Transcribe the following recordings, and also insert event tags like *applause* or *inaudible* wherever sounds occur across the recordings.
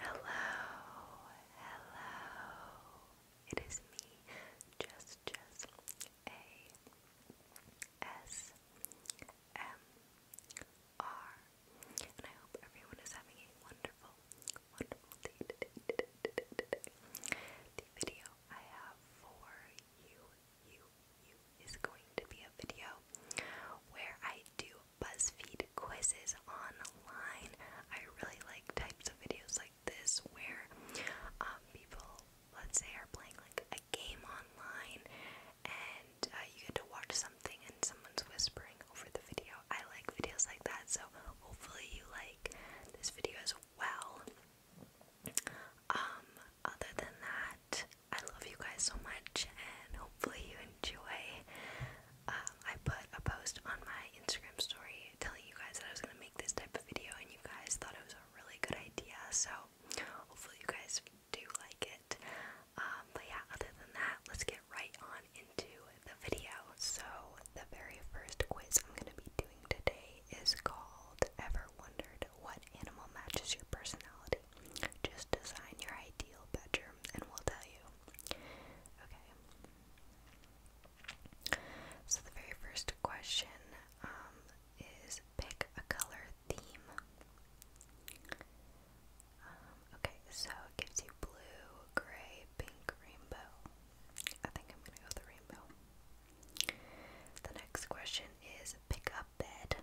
Hello, hello. It is me, Just Just A S M R. And I hope everyone is having a wonderful, wonderful day today. today, today, today. The video I have for you, you, you is going to be a video where I do BuzzFeed quizzes online. I really like types of videos like this where um, people, let's say, are playing like a game online and uh, you get to watch something and someone's whispering over the video. I like videos like that, so hopefully you like this video as well. Um, other than that, I love you guys so much and hopefully you enjoy. Um, I put a post on my Instagram story telling you guys that I was gonna make this type of video, and you guys thought it was a really good idea. So hopefully you guys do like it. Um, but yeah, other than that, let's get right on into the video. So the very first quiz I'm gonna be doing today is called "Ever Wondered What Animal Matches Your Personality?" Just design your ideal bedroom, and we'll tell you. Okay. So the very first question um, is pick a color theme. Um, okay, so it gives you blue, gray, pink, rainbow. I think I'm gonna go the rainbow. The next question is pick a bed.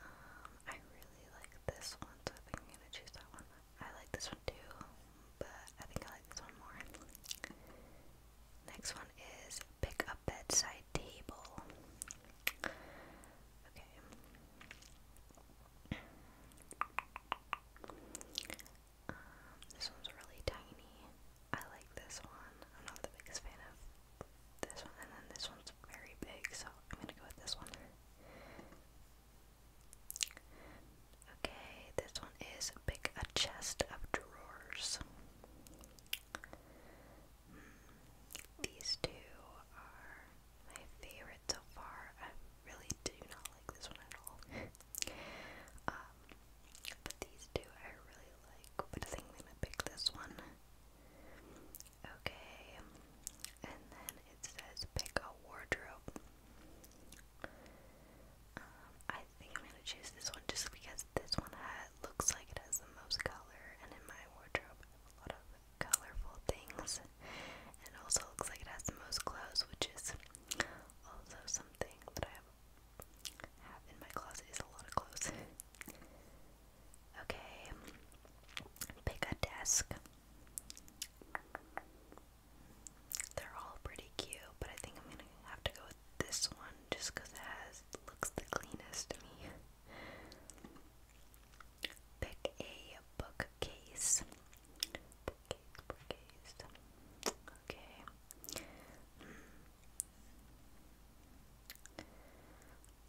Um, I really like this one, so I think I'm gonna choose that one. I like this one too, but I think I like this one more. Next one is pick a bedside table. Okay. Um, this one's really tiny. I like this one. I'm not the biggest fan of this one, and then this one's very big, so I'm gonna go with this one. Okay, this one is pick a chest of drawers. Hmm, these two are my favorite so far. I really do not like this one at all. *laughs* Um, but these two I really like, but I think I'm gonna pick this one. Okay, and then it says pick a wardrobe. Um, I think I'm gonna choose this one just because this one looks like it has the most color, and in my wardrobe, I have a lot of colorful things. And also looks like it has the most clothes, which is also something that I have in my closet is a lot of clothes. *laughs* okay, pick a desk. They're all pretty cute, but I think I'm gonna have to go with this one just because it has looks the cleanest to me. Pick a bookcase. Bookcase, bookcase. Okay.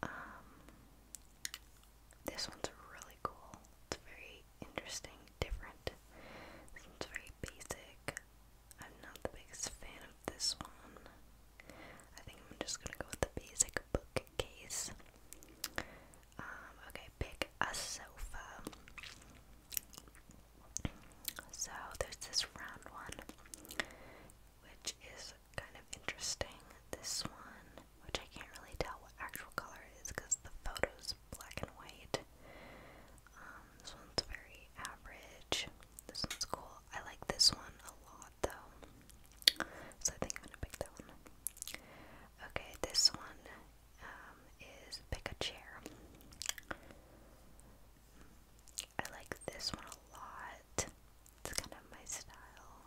Um, this one's really cool. It's very interesting, different. This one's very basic. I'm not the biggest fan of this one. I think I'm just gonna go with the basic bookcase. Um, okay, pick a sofa. So there's this round one, which is kind of interesting. This one which I can't really tell what actual color it is because the photo's black and white. Um, this one's very average. This one's cool. I like this one a lot though, so I think I'm gonna pick that one. Okay, this one um, is pick a chair. I like this one a lot. It's kind of my style.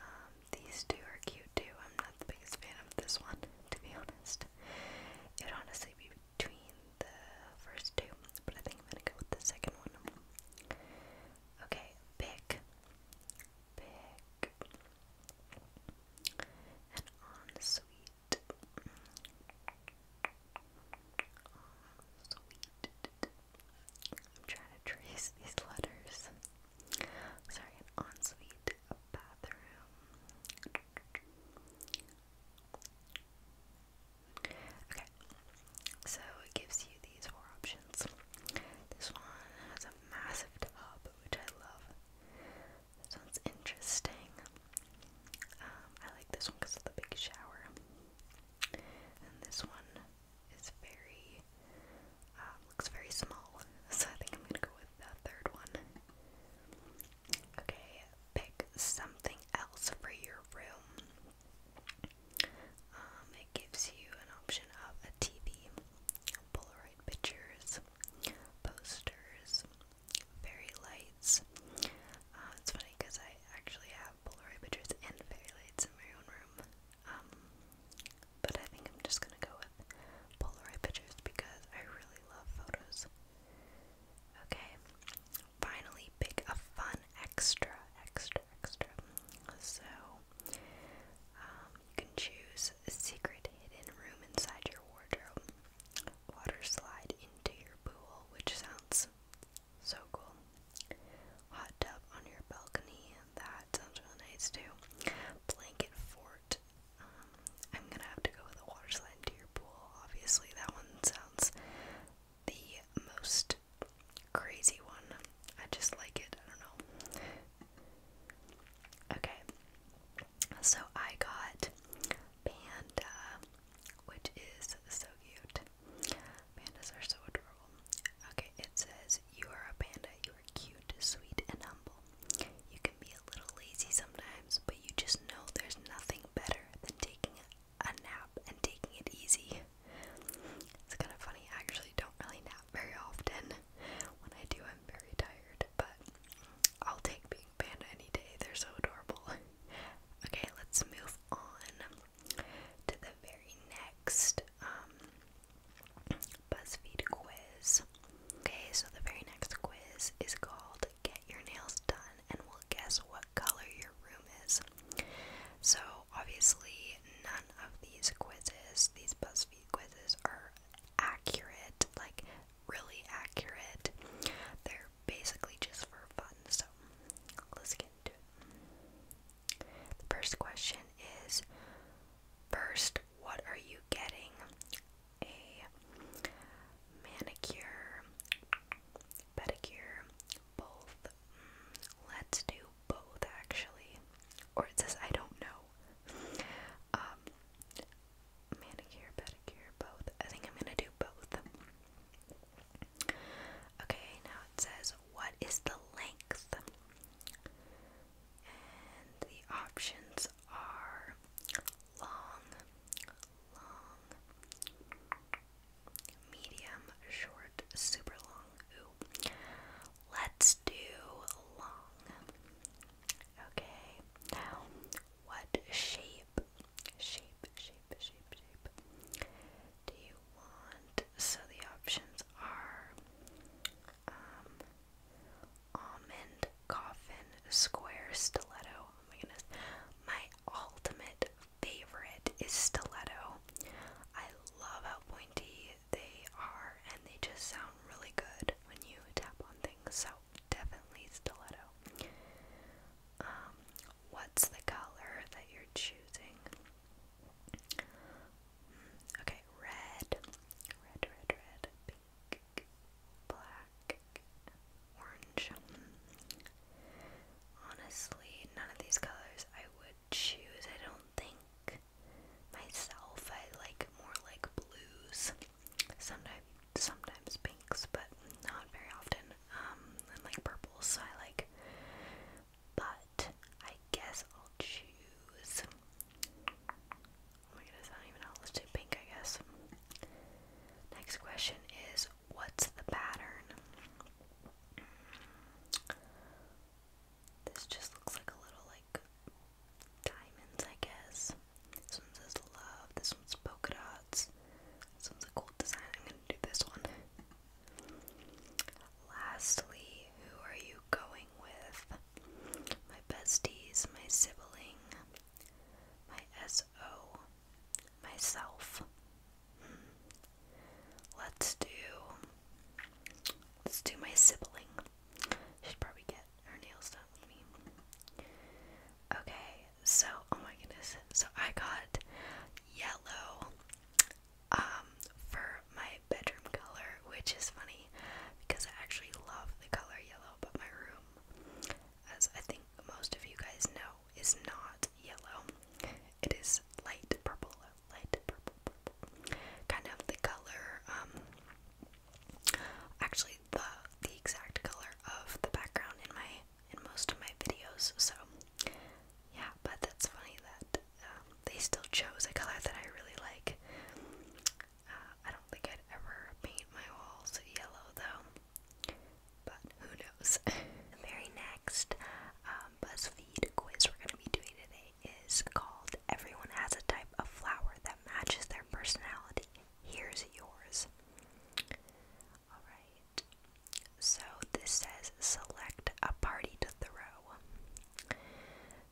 Um, these two are cute too. I'm not the biggest fan of this one, to be honest. It would honestly be between the first two, but I think I'm gonna go with the second one. Okay, pick. Pick. An ensuite. Ensuite. I'm trying to trace these letters. Sorry, an ensuite bathroom. Okay, so it gives you these four options. This one has a massive tub, which I love. This one's interesting. Um, I like this one because of the big shower. And this one it's very, uh, looks very small, *laughs* so I think I'm gonna go with that third one. Okay, pick something else for your room. Um, it gives you an option of a TV, Polaroid pictures, posters, fairy lights. Uh, it's funny because I actually have Polaroid pictures and fairy lights in my own room. Um, but I think I'm just gonna go with Polaroid pictures because I really love photos. Okay, finally, pick a fun extra, extra, extra. So, um, you can choose secret hidden room inside your wardrobe, water slide into your pool, which sounds so cool. Hot tub on your balcony, that sounds really nice too blanket fort. Um, I'm gonna have to go with a water slide to pool. Obviously, that one sounds the most crazy one. I just like it. I don't know. Okay, so I got Panda, which is so cute. Pandas are so adorable. Okay, it says, You are a panda. You are cute, sweet, and humble. You can be a little lazy sometimes, but you just know there's nothing better than taking a nap and taking it easy. It's kind of funny. I actually don't really nap very often. When I do, I'm very tired, but I'll take being panda any day. They're so adorable. okay, let's move on to the very next um, BuzzFeed quiz. Okay, so the very next quiz is called Get Your Nails Done and we'll guess what color your room is. So, obviously, none of these quizzes, these BuzzFeed quizzes, are accurate, like really accurate. They're basically just for fun, so let's get into it. The first question is First, what are you getting? A manicure, pedicure, both. Mm, let's do both actually. Or it says I don't know. Um manicure, pedicure, both. I think I'm gonna do both. Okay, now it says what is the length? And the options are long, long, medium, short, super long. Ooh. Let's do long. Okay. Now, what shape? Shape, shape, shape, shape. Do you want? So the options are um Almond Coffin Square Stiletto. Oh my goodness. My ultimate favorite is stiletto. I love how pointy they are and they just sound really good when you tap on things. So definitely stiletto. Um, what's the color that you're choosing? Okay, red, red, red, red, pink, black, orange. Honestly, none of these colors I would choose, I don't think. Myself, I like more like blues. Sometimes sometimes pinks, but not very often. Um and like purples, I like but I guess I'll choose. Oh my goodness, I don't even know. Let's do pink, I guess. Next question is what's the pattern? This just looks like a little like diamonds, I guess. This one says love, this one's polka dots. This one's a cool design. I'm gonna do this one. Lastly, who are you going with? my besties, my sibling, my SO, myself. Hmm. Let's do let's do my sibling. Should probably get her nails done with me. Okay, so oh my goodness. So I got yellow um for my bedroom color, which is funny because I actually love the color yellow, but my room, as I think most of you guys know, is not yellow. It is light purple, light purple, purple. Kind of the color, um, actually the the exact color of the background in my in most of my videos. So yeah, but that's funny that um, they still chose a color that I really like. Uh, I don't think I'd ever paint my walls yellow though, but who knows. the *laughs* very next um, BuzzFeed quiz we're going to be doing today is called Everyone Has a Type of Flower That Matches Their Personality. Here's yours. Alright, so this says select a party to throw.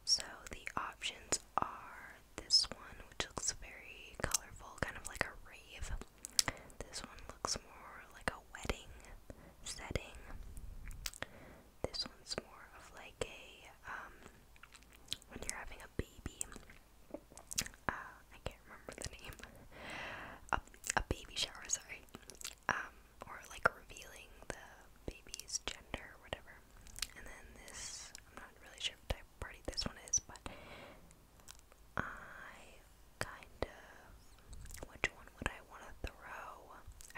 So the options are this one, which looks very colorful, kind of like a rave. This one looks more like a wedding setting. This one's more of like a, um, when you're having a baby. Uh, I can't remember the name. A, a baby shower, sorry. Um, or like revealing the baby's gender or whatever. And then this, I'm not really sure what type of party this one is, but I kind of, which one would I want to throw?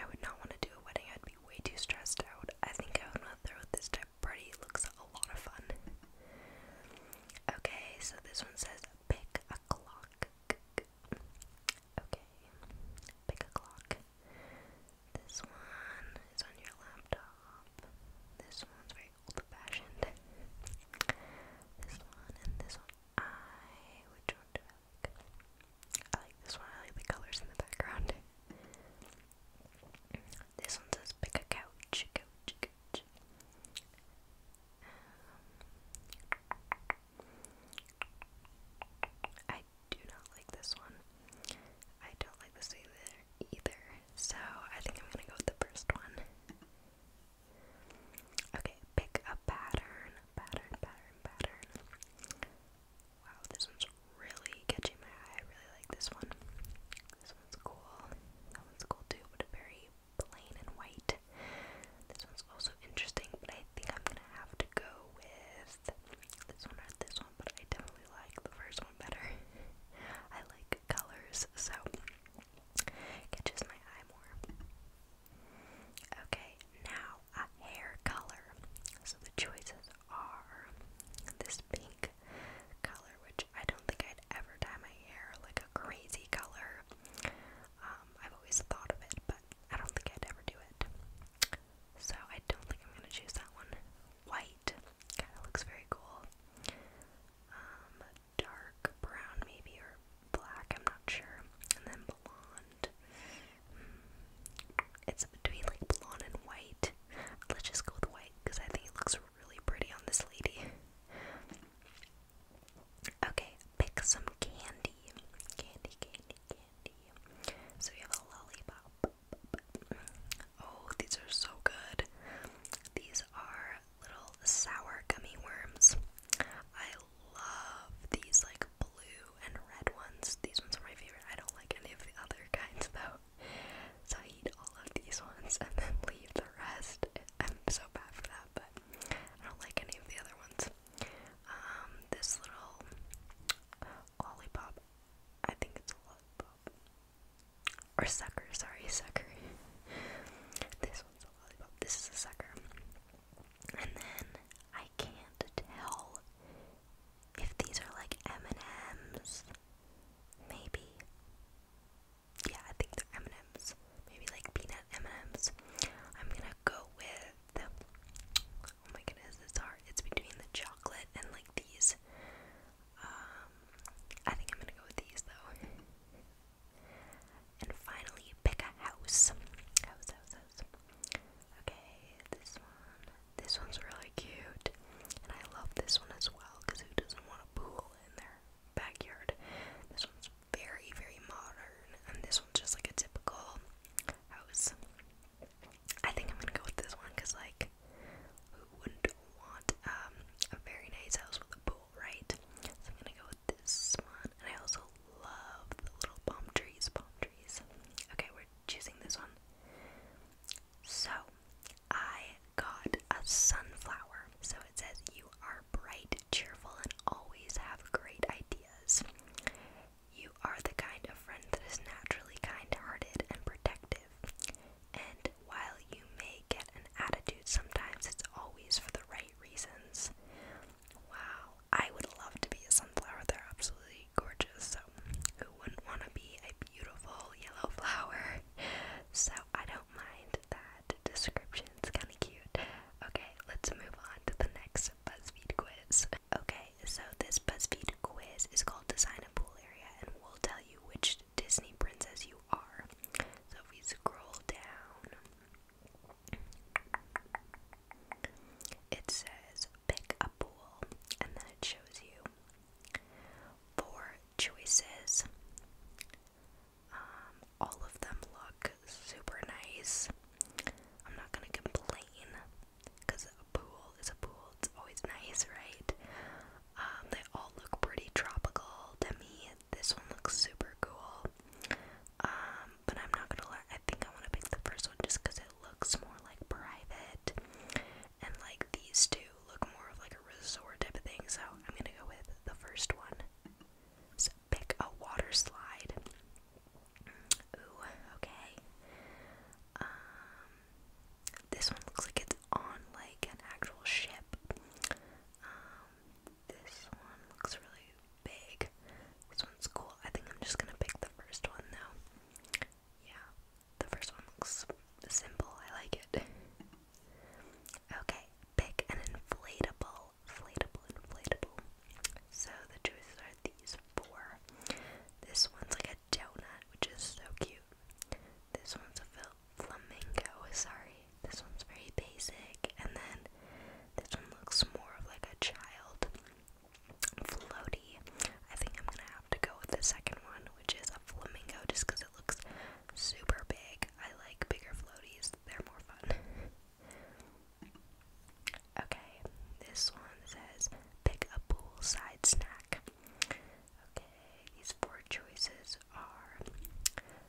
I would not want to do a wedding, I'd be way too stressed out. I think I would want to throw this type party, it looks a lot of fun. okay, so this one says pick a clock. Okay, pick a clock. This one is on your laptop. This one's very old fashioned. This one and this one. I which do I like? I like this one, I like the colors in the background. This one says pick a couch, couch, couch. Um, I do not like this one. I don't like this either, either. So I think I'm gonna go with the first one. Okay, pick a pattern, pattern, pattern, pattern. Wow, this one's really catching my eye. I really like this one. This one's cool. That one's cool too, but very plain and white. This one's also interesting, but I think I'm gonna have to go with this one or this one, but I definitely like the first one better. *laughs* I like colors, so catches my eye more. Okay, now a hair color. So the choices are this pink color, which I don't think I'd ever dye my hair like a crazy color. Um, I've always thought of it, but I don't think I'd ever do it. So I don't think I'm gonna choose that one. White kind of looks very cool. Um, dark brown maybe or black. I'm not sure. And then blonde. Hmm. it's between like blonde and white. Let's just go with white because I think it looks really pretty on this lady. Okay, pick some candy. Candy, candy, candy. So we have a lollipop, Oh, these are so good. These are little sour gummy worms. I love these like blue and red ones. These ones are my favorite. I don't like any of the other kinds though. So I eat all of these ones and then leave the rest. I'm so bad for that, but I don't like any of the other ones. Um, this little lollipop. I think it's a lollipop. Or sucker, sorry, sucker. *laughs* this one's a lollipop. This is a sucker. And then I can't tell if these are like M&Ms. Maybe. Yeah, I think they're M&Ms. Maybe like peanut M&Ms. I'm gonna go with Oh my goodness, it's hard. It's between the chocolate and like these. Um, I think I'm gonna go with these though. and finally, pick a house. House, house, house. Okay, this one. This one's really cute. And I love this one as well because who doesn't want a pool in their backyard? This one's very, very modern. And this one's just like a typical house. I think I'm gonna go with this one because, like, who wouldn't want um, a very nice house with a pool, right? So I'm gonna go with this one, and I also love the little palm trees, palm trees. Okay, we're choosing this one. So I got a sunflower. So it says, You are bright, cheerful, and always have great ideas. You are the kind of friend that is naturally kind hearted and protective. And while you may get an attitude sometimes, it's always for the right reasons. Wow, I would love to be a sunflower. They're absolutely gorgeous. So, who wouldn't want to be a beautiful yellow flower? *laughs* So, I don't mind that description. It's kind of cute. Okay, let's move on to the next BuzzFeed quiz. *laughs* Okay, so this BuzzFeed quiz is called Design a Pool Area and will tell you which Disney princess you are. So if we scroll down, it says pick a pool and then it shows you four choices. Um, all of them look super nice. I'm not gonna complain. Because a pool is a pool, it's always nice, right? Um, they all look pretty tropical to me. This one looks super cool. Um, but I'm not gonna lie, I think I want to pick the first one just because it looks more like private. And like these two look more of like a resort type of thing, so I'm gonna go with the first one. So pick a water slide. Ooh, okay. Um, this one looks like it's on like an actual ship. Um, this one looks really big. This one's cool. I think I'm just gonna pick the first one though. Yeah, the first one looks simple. I like it. Okay, pick an inflatable, inflatable, inflatable. So the choices these for? This one's like a donut, which is so cute. This one's a flamingo, sorry. This one's very basic. And then this one looks more of like a child floaty. I think I'm gonna have to go with the second one, which is a flamingo, just because it looks super big. I like bigger floaties, they're more fun. *laughs* Okay, this one says pick a poolside snack. Okay, these four choices are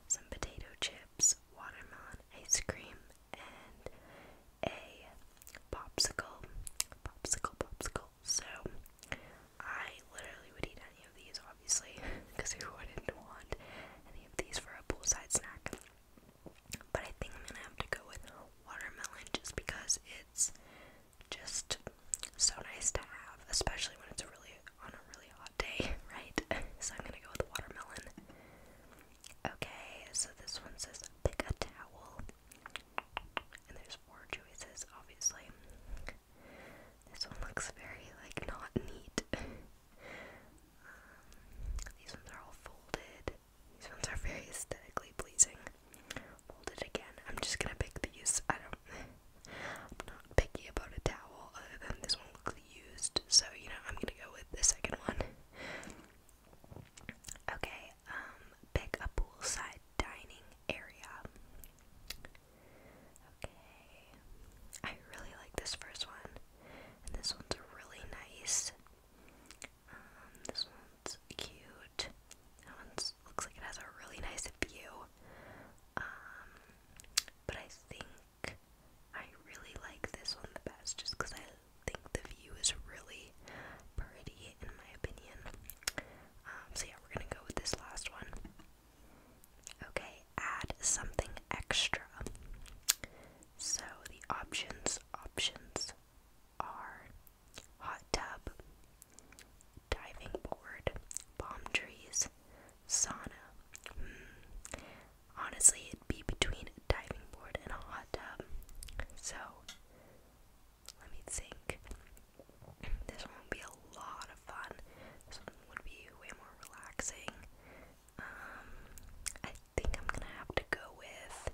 some potato chips, watermelon ice cream, and a popsicle. Popsicle, popsicle. So, I literally would eat any of these, obviously, because *laughs* who wouldn't want any of these for a poolside snack? But I think I'm gonna have to go with watermelon just because it's just so nice to have, especially when it's really on a really hot day, *laughs* right? *laughs* so I'm gonna go with watermelon. Okay, so this one says pick a towel. And there's four choices, obviously. This one looks very like not neat. *laughs* Um, these ones are all folded. These ones are very aesthetically pleasing. Hold it again. I'm just gonna pick these. I don't. *laughs* I'm not picky about a towel, other than this one looks used. So you know, I'm gonna go with the second one. Okay. Um, pick a poolside dining area. Okay. I really like this first one, and this one's really nice. Um, this one's cute. That one looks like it has a really nice view. Um, but I think I really like this one the best just because I think the view is really pretty in my opinion. Um, so yeah, we're gonna go with this last one. Okay, add something extra. So the options options are hot tub, diving board, palm trees, sauna. Hmm. Honestly, it'd be between diving board and a hot tub. So, let me think. This one would be a lot of fun. would be way more relaxing. Um, I think I'm gonna have to go with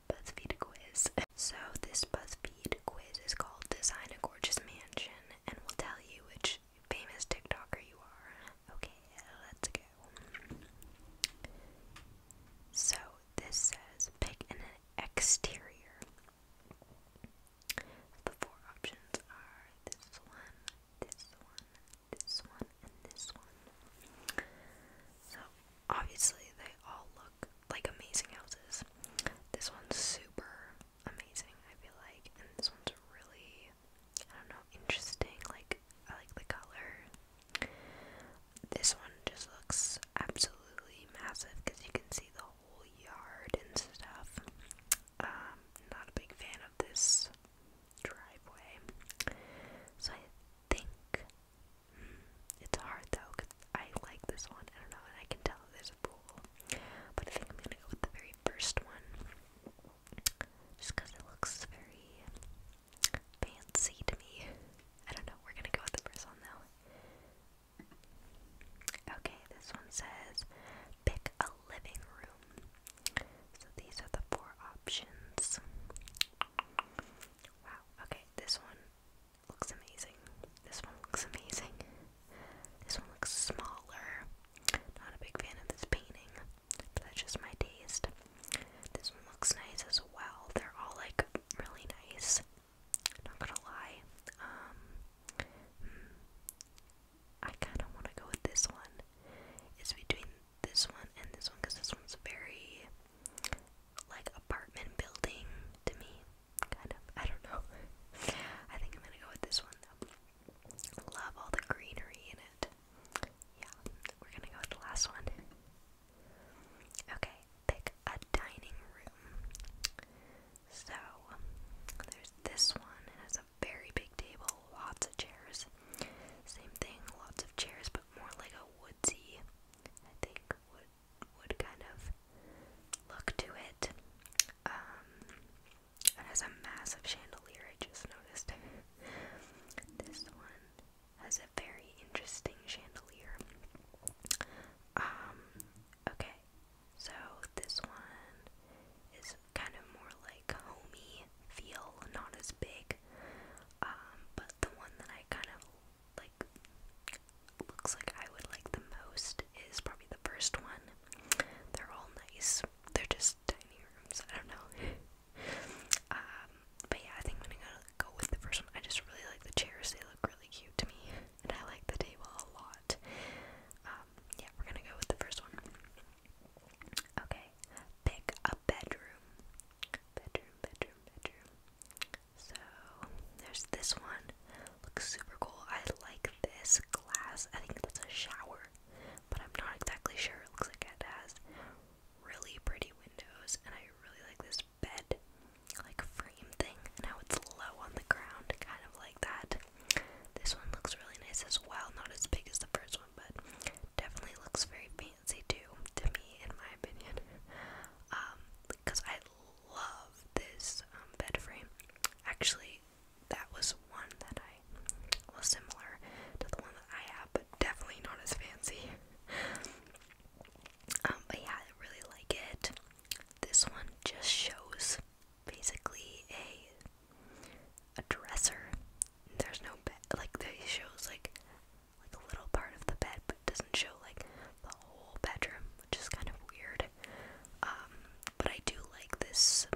BuzzFeed quiz. So, this BuzzFeed quiz is called Design a Gorgeous Mansion and will tell you which famous TikToker you are. Okay, let's go. So, this says pick an exterior. The four options are this one, this one, this one, and this one. So, obviously, they all look like amazing houses. This one's super amazing, I feel like, and this one's really, I don't know, interesting. Like, I like the color. This one just looks absolutely massive because you can see the whole yard and stuff. Um, not a big fan of this driveway. So I think it's hard though, because I like this one. I don't know, and I can tell there's a pool. But I think I'm gonna go with the very first one. Just because it looks very fancy to me. I don't know, we're gonna go with the first one though. Okay, this one says pick a living room. So these are the four options. Wow, okay, this one looks amazing. This one looks amazing. This one looks smaller. Not a big fan of this painting, but that's just my taste. This one looks nice as well. They're all like really nice. Not gonna lie. Um, hmm, I kind of want to go with this one. It's between this one and this one because this one's very like apartment building to me. Kind of. I don't know. *laughs* I think I'm gonna go with this one though. Love all the greenery in it. Yeah, we're gonna go with the last one. Okay, pick a dining room. So, there's this one. It has a very big table, lots of chairs. Same thing, lots of chairs, but more like a woodsy, I think, wood, would kind of look to it. Um, it has a massive chandelier, I just noticed. this one has a very interesting chandelier. Um, okay, so this one is kind of more like homey feel, not as big. Um, but the one that I kind of like looks like I would like the most is probably the first one. They're all nice. They're just tiny rooms. I don't know. *laughs* Um, but yeah, I think I'm gonna go with the first one. I just really like the chairs. They look really cute to me, and I like the table a lot. Um, yeah, we're gonna go with the first one. Okay, pick a bedroom. Bedroom, bedroom, bedroom. So there's this one. Looks super cool. I like this glass. I think that's a shower, but I'm not exactly sure. It looks like it has really pretty windows, and I really like this bed, like frame thing, and how it's low on the ground, kind of like that. This one looks really nice as well. Not as big as the first one, but definitely looks very fancy too, to me, in my opinion. because *laughs* um, I love this um, bed frame. Actually, that was one that I was similar to the one that I have, but definitely not as fancy. *laughs* Um, but yeah, I really like it. This one just shows basically a a dresser. There's no bed, like it shows like like a little part of the bed, but it doesn't show like the whole bedroom which is kind of weird. Um, but I do like this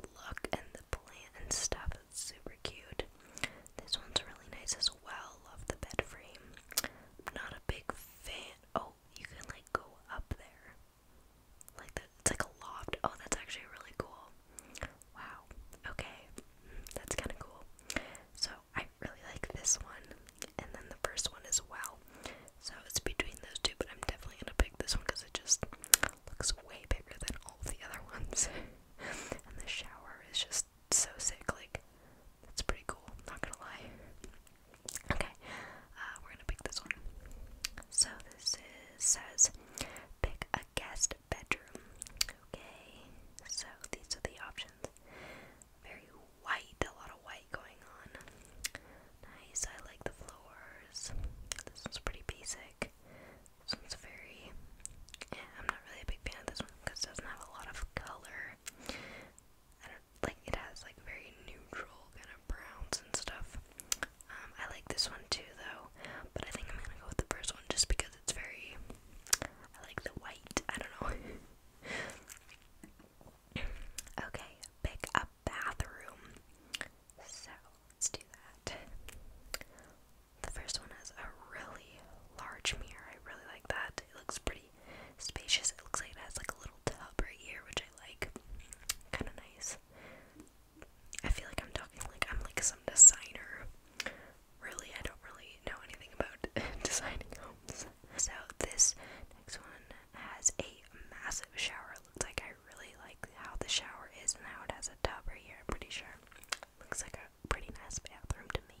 look and the plant and stuff. It's super cute. This one's really nice as well. Love the bed frame. i not a big fan. Oh, you can like go up there. Like that. It's like a loft. Oh, that's actually really cool. Wow. Okay. Mm, that's kind of cool. So I really like this one, and then the first one as well. So it's between those two, but I'm definitely gonna pick this one because it just looks way bigger than all the other *laughs* ones. and the shower is just so sick. Like that's pretty cool. Not gonna lie. Okay, uh, we're gonna pick this one. So this is says pick a guest bedroom. Okay, so these are the options. Very white, a lot of white going on. Nice, I like the floors. This one's pretty basic. This one's very. I'm not really a big fan of this one because it doesn't have a lot of color. like it has like very neutral kind of browns and stuff. Um, I like this one too though, but I think I'm gonna go with the first one just because it's very. I like the white. I don't know. *laughs* Okay, pick a bathroom. So let's do that. The first one has a really large mirror. I really like that. It looks pretty spacious. It looks like it has like a little tub right here, which I like. Kind of nice. I feel like I'm talking like I'm like some designer. Really, I don't really know anything about *laughs* designing homes. So this next one has a massive shower. It looks like I really like how the shower is and how it has a tub right here, I'm pretty sure. Looks like a pretty nice bathroom to me.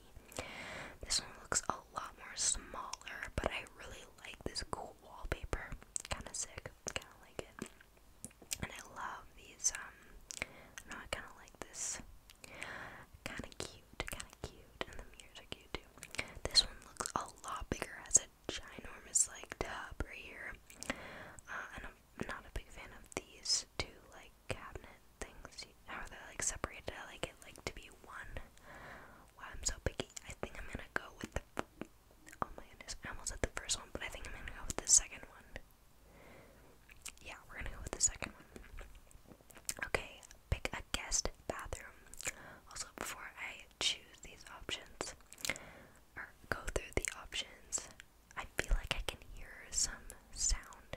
This one looks a lot more smaller, but I really like this cool wallpaper. Kinda sick. Kinda like it. And I love these, um, I kinda like this kind of cute, kind of cute, and the mirrors are cute too. This one looks a lot bigger, as a ginormous like tub right here, uh, and I'm not a big fan of these two like cabinet things. How they like separated? I like it like to be one. Wow, I'm so picky. I think I'm gonna go with Oh my goodness, I almost said the first one, but I think I'm gonna go with the second one. Yeah, we're gonna go with the second one. Okay, pick a guest bathroom. Also, before I choose these options or go through the options, I feel like I can hear some sound,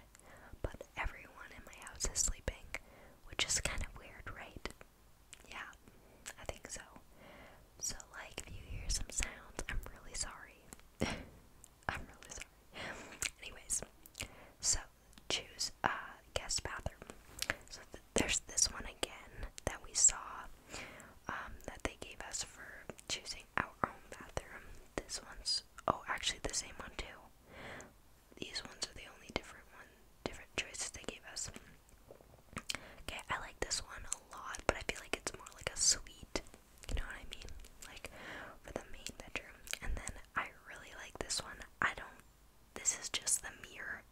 but everyone in my house is sleeping, which is kind of weird, right? Yeah, I think so. So, like, if you hear some sounds, I'm really sorry. *laughs* I'm really sorry. Anyways, so choose a guest bathroom. So there's this one again that we saw um, that they gave us for choosing our own bathroom. This one's oh, actually the same one too. These ones are the only different ones, different choices they gave us. Okay, I like this one a lot, but I feel like it's more like a suite. You know what I mean? Like for the main bedroom. And then I really like this one. I don't this is just the mirror,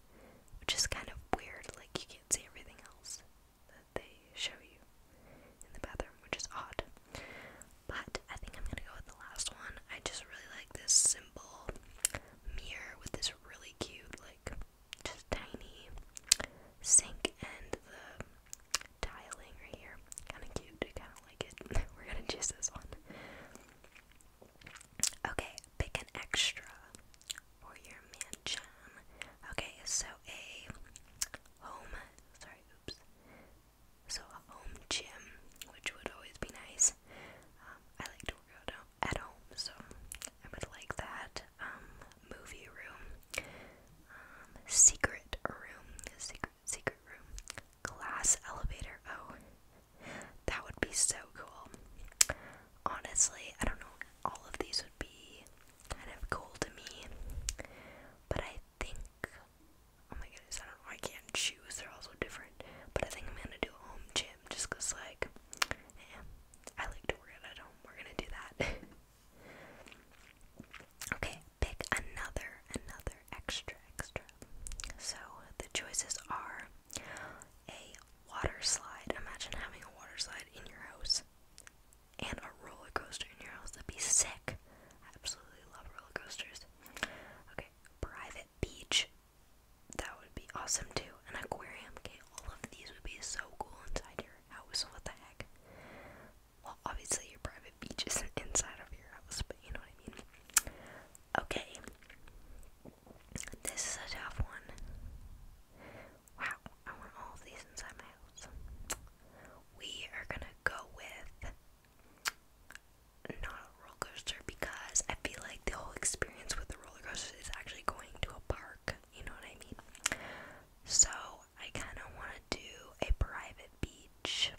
which is kind of weird, like you can't see everything else that they show you in the bathroom, which is odd. But I think I'm gonna go with the last one. I just really like this simple mirror with this really cute, like just tiny sink and the tiling right here. Kinda cute, I kinda like it. *laughs* We're gonna choose this one. Okay, pick an extra for your man mansion. Okay, so a home, sorry, oops. So a home gym, which would always be nice. Um, I like to work out at home, so I would like that. Um, movie room, um, secret room, secret secret room, glass elevator. Oh, that would be so cool. Honestly, I don't know. All of these would be kind of cool to me, but I think. Oh my goodness, I don't know. I can't choose. They're all so different. But I think I'm gonna do a home gym just cause like, yeah, I like to work out at home. We're gonna do that. *laughs* okay, pick another, another extra, extra. So the choices are a water slide. Imagine having a water slide in your house. And a roller coaster in your house. That'd be sick. I absolutely love roller coasters. Okay, private beach. That would be awesome too. An aquarium. Okay, all of these would be so cool inside your house. What the heck? Well, obviously, your private beach *laughs* isn't inside of your house, but you know what I mean. Okay. This is a tough one. Wow, I want all of these inside my house. We are gonna go with not a roller coaster because I feel like the whole experience with the roller coaster is actually going to a park. You know what I mean? So I kind of want to do a private beach.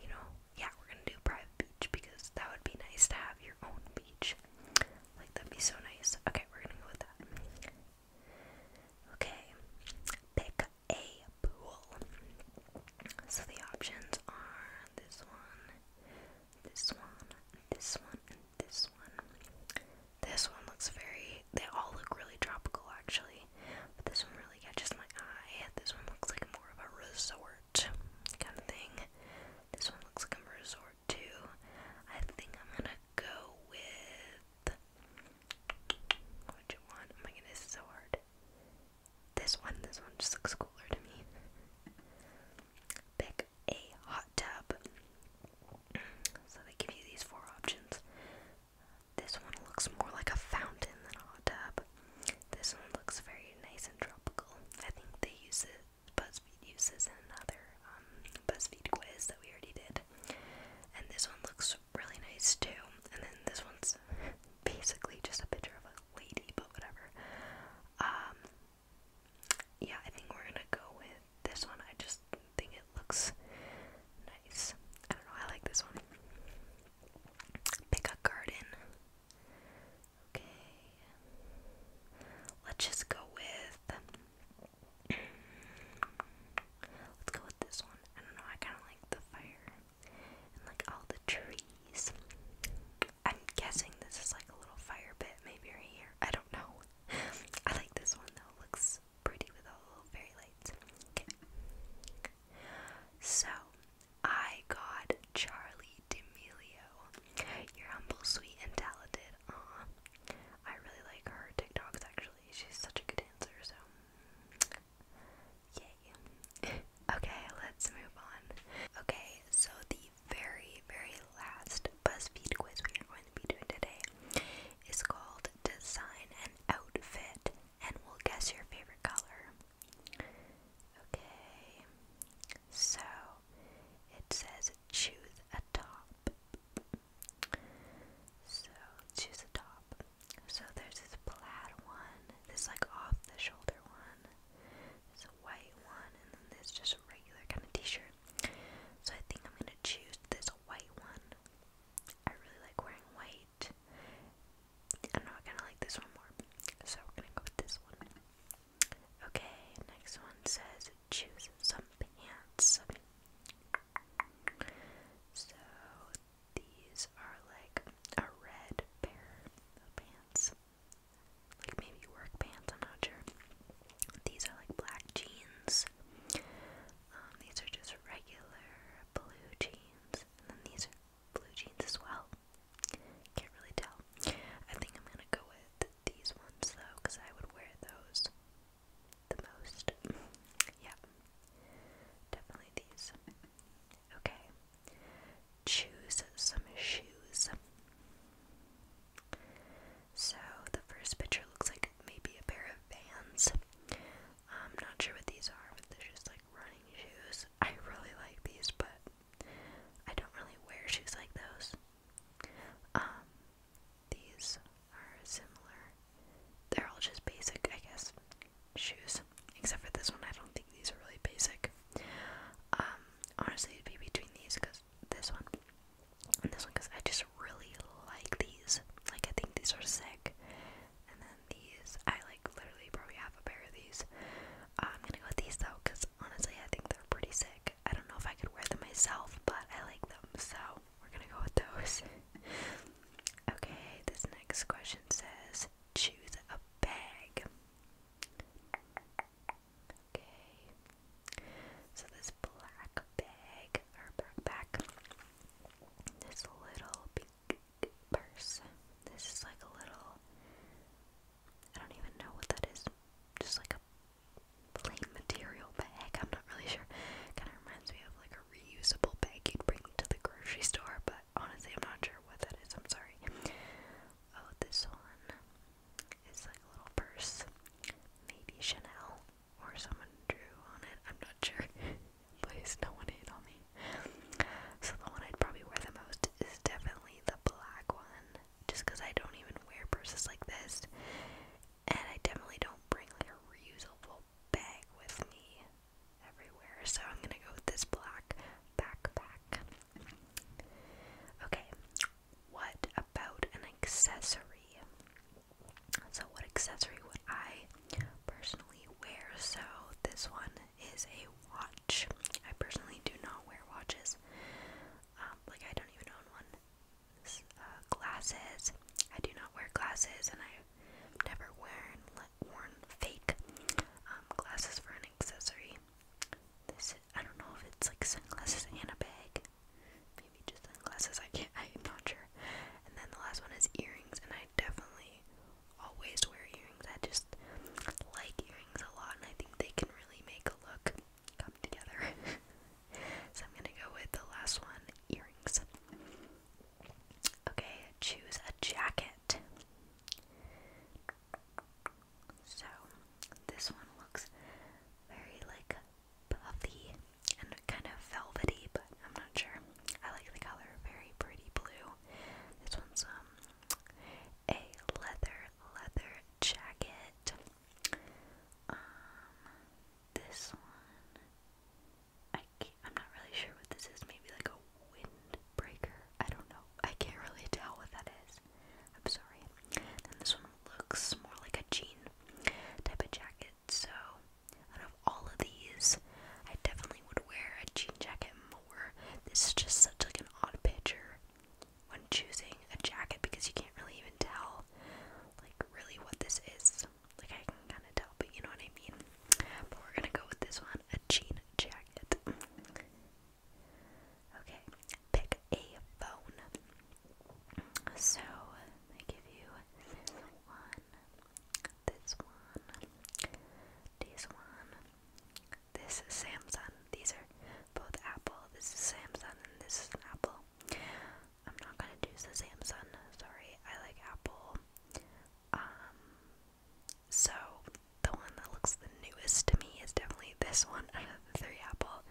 You know, yeah, we're gonna do private beach because that would be nice to have your own beach. Like, that'd be so nice. Okay, we're gonna go with that. Okay, pick a pool. So the options are this one, this one, this one, this one. This one looks very, they all look really tropical actually, but this one really catches my eye. This one looks like more of a resort kind of thing. This one looks like a resort too. I think I'm gonna go with which one? Oh my goodness, it's so hard. This one, this one just looks cooler to me. Pick a hot tub. So they give you these four options. This one looks more like a fountain than a hot tub. This one looks very nice and tropical. I think they use it, BuzzFeed uses in another um, BuzzFeed quiz that we already did. And this one looks really nice too. And then this one's *laughs* basically just a picture of a lady, but whatever. Um, yeah, I think we're gonna go with this one. I just think it looks nice. I don't know, I like this one. Pick a garden. Okay. Let's just go with. Let's go with this one. I don't know, I kind of like the fire and like all the trees. I'm guessing this is like a little fire pit maybe right here. I don't know. *laughs* I like this one though. looks pretty with all the fairy lights. Okay. So, I got Charlie D'Amelio. your humble, sweet, and talented. Aw. I really like her TikToks actually. She's such a good dancer, so yay. *laughs* okay, let's move on. Okay, so the very, very last BuzzFeed quiz we are going to be doing today is called Design an Outfit and we'll guess your favorite color. Okay, so it says choose a top. So choose a top. So there's this plaid one, this like off the shoulder one, this white one, and then this just a regular kind of t shirt. So I think I'm gonna choose this white one. I really like wearing white. I don't know, I like this one more. So we're gonna go with this one. Okay, next one says choose some pants. So these are like a red pair of pants. Like maybe work pants, I'm not sure. These are like black jeans. Um, these are just regular blue jeans. And then these are blue jeans as well. Can't really tell. I think I'm gonna go with these ones though, because I would wear those the most. *laughs* yeah, definitely these. Okay, choose some shoes. So the first picture looks like maybe a pair of Vans. I'm not sure what these are, but they're just like running shoes. I really like these, but I don't really wear shoes like those. Um, these are similar. They're all just basic, I guess, shoes. Except for this one, I don't think these are really basic. Um, honestly, it'd be between these, cause this one and this one, cause I just really like these. Like, I think these are sick. And then these, I like literally probably have a pair of these. Uh, I'm gonna go with these though, cause honestly, I think they're pretty sick. I don't know if I could wear them myself, but I like them, so we're gonna go with those. *laughs* okay, this next question says choose a bag. Okay, so this black bag or backpack, this little pink purse. This is like a little I don't even know what that is. Just like a plain material bag. I'm not really sure. Kind of reminds me of like a reusable bag you'd bring to the grocery store, but honestly, I'm not sure what that is. I'm sorry. Oh, this one is like a little purse. Maybe Chanel or someone drew on it. I'm not sure. *laughs* Please, no one hit on me. So the one I'd probably wear the most is definitely the black one, just because I don't even wear purses like this, and I definitely don't bring like a reusable bag with me everywhere. So I'm gonna go with this black backpack. Okay, what about an accessory? So, what accessory would I personally wear? So, this one is a watch. I personally do not wear watches. Um, like I don't even own one. Uh, glasses. I do not wear glasses, and i never wear worn fake um, glasses for an accessory. I don't know if it's like sunglasses and a bag. Maybe just sunglasses. I can't. I'm not sure. And then the last one is earrings, and I definitely always wear earrings. I just like earrings a lot and I think they can really make a look come together. *laughs* so I'm gonna go with the last one, earrings. Okay, choose a jacket. So this one looks very like puffy and kind of velvety, but I'm not sure. I like the color, very pretty blue. This one's um a leather leather jacket. Um, this one, I am not really sure what this is. Maybe like a windbreaker. I don't know. I can't really *laughs* tell what that is. I'm sorry. Then this one looks more like a jean type of jacket. So out of all of these, I definitely would wear a jean jacket more. This is just such like an odd picture when choosing a jacket because you can't really even tell like really what this is. Like I can kind of tell, but you know what I mean. But we're gonna go with this one, a jean jacket. Okay, pick a phone. So I give you this one, this one, this one, this is Samsung. These are both Apple. This is Samsung and this is Apple. I'm not gonna choose the Samsung. Sorry, I like Apple. Um, so the one that looks the newest to me is definitely this one of *laughs* the three Apple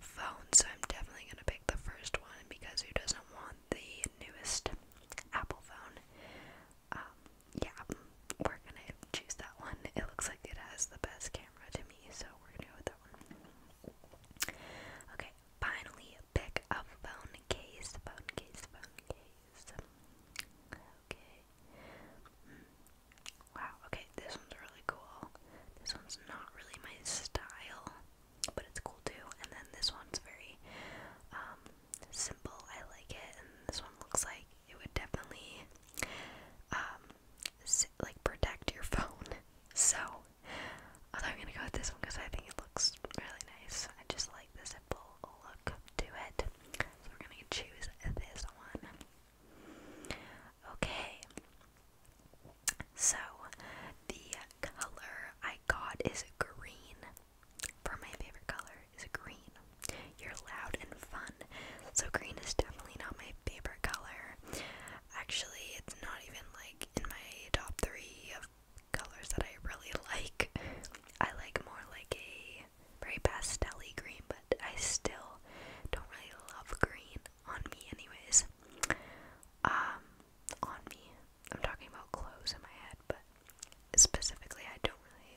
phones. So I'm definitely gonna pick the first one because who doesn't want the newest Apple phone? Um, yeah, we're gonna choose that one. It looks like it has the best camera to me, so we're gonna go with that one. Okay, finally, pick a phone case. Phone case, phone case. Okay. Hmm. Wow, okay, this one's really cool. This one's not really my style, but it's cool too. And then this one's very um, simple. I like it. And this one looks like it would definitely um, like protect your *laughs* phone. So, I'm gonna go with this one because I think it looks really nice. I just like the simple look to it. So we're gonna choose this one. Okay. So, the color I got is green for my favorite color is green. You're loud and fun. So green is definitely not my favorite color. Actually, it's not even like in my top three of colors that I really *laughs* like. I like more like a very pastelly green, but I still don't really love green on me, anyways. Um, on me. I'm talking about clothes in my head, but specifically, I don't really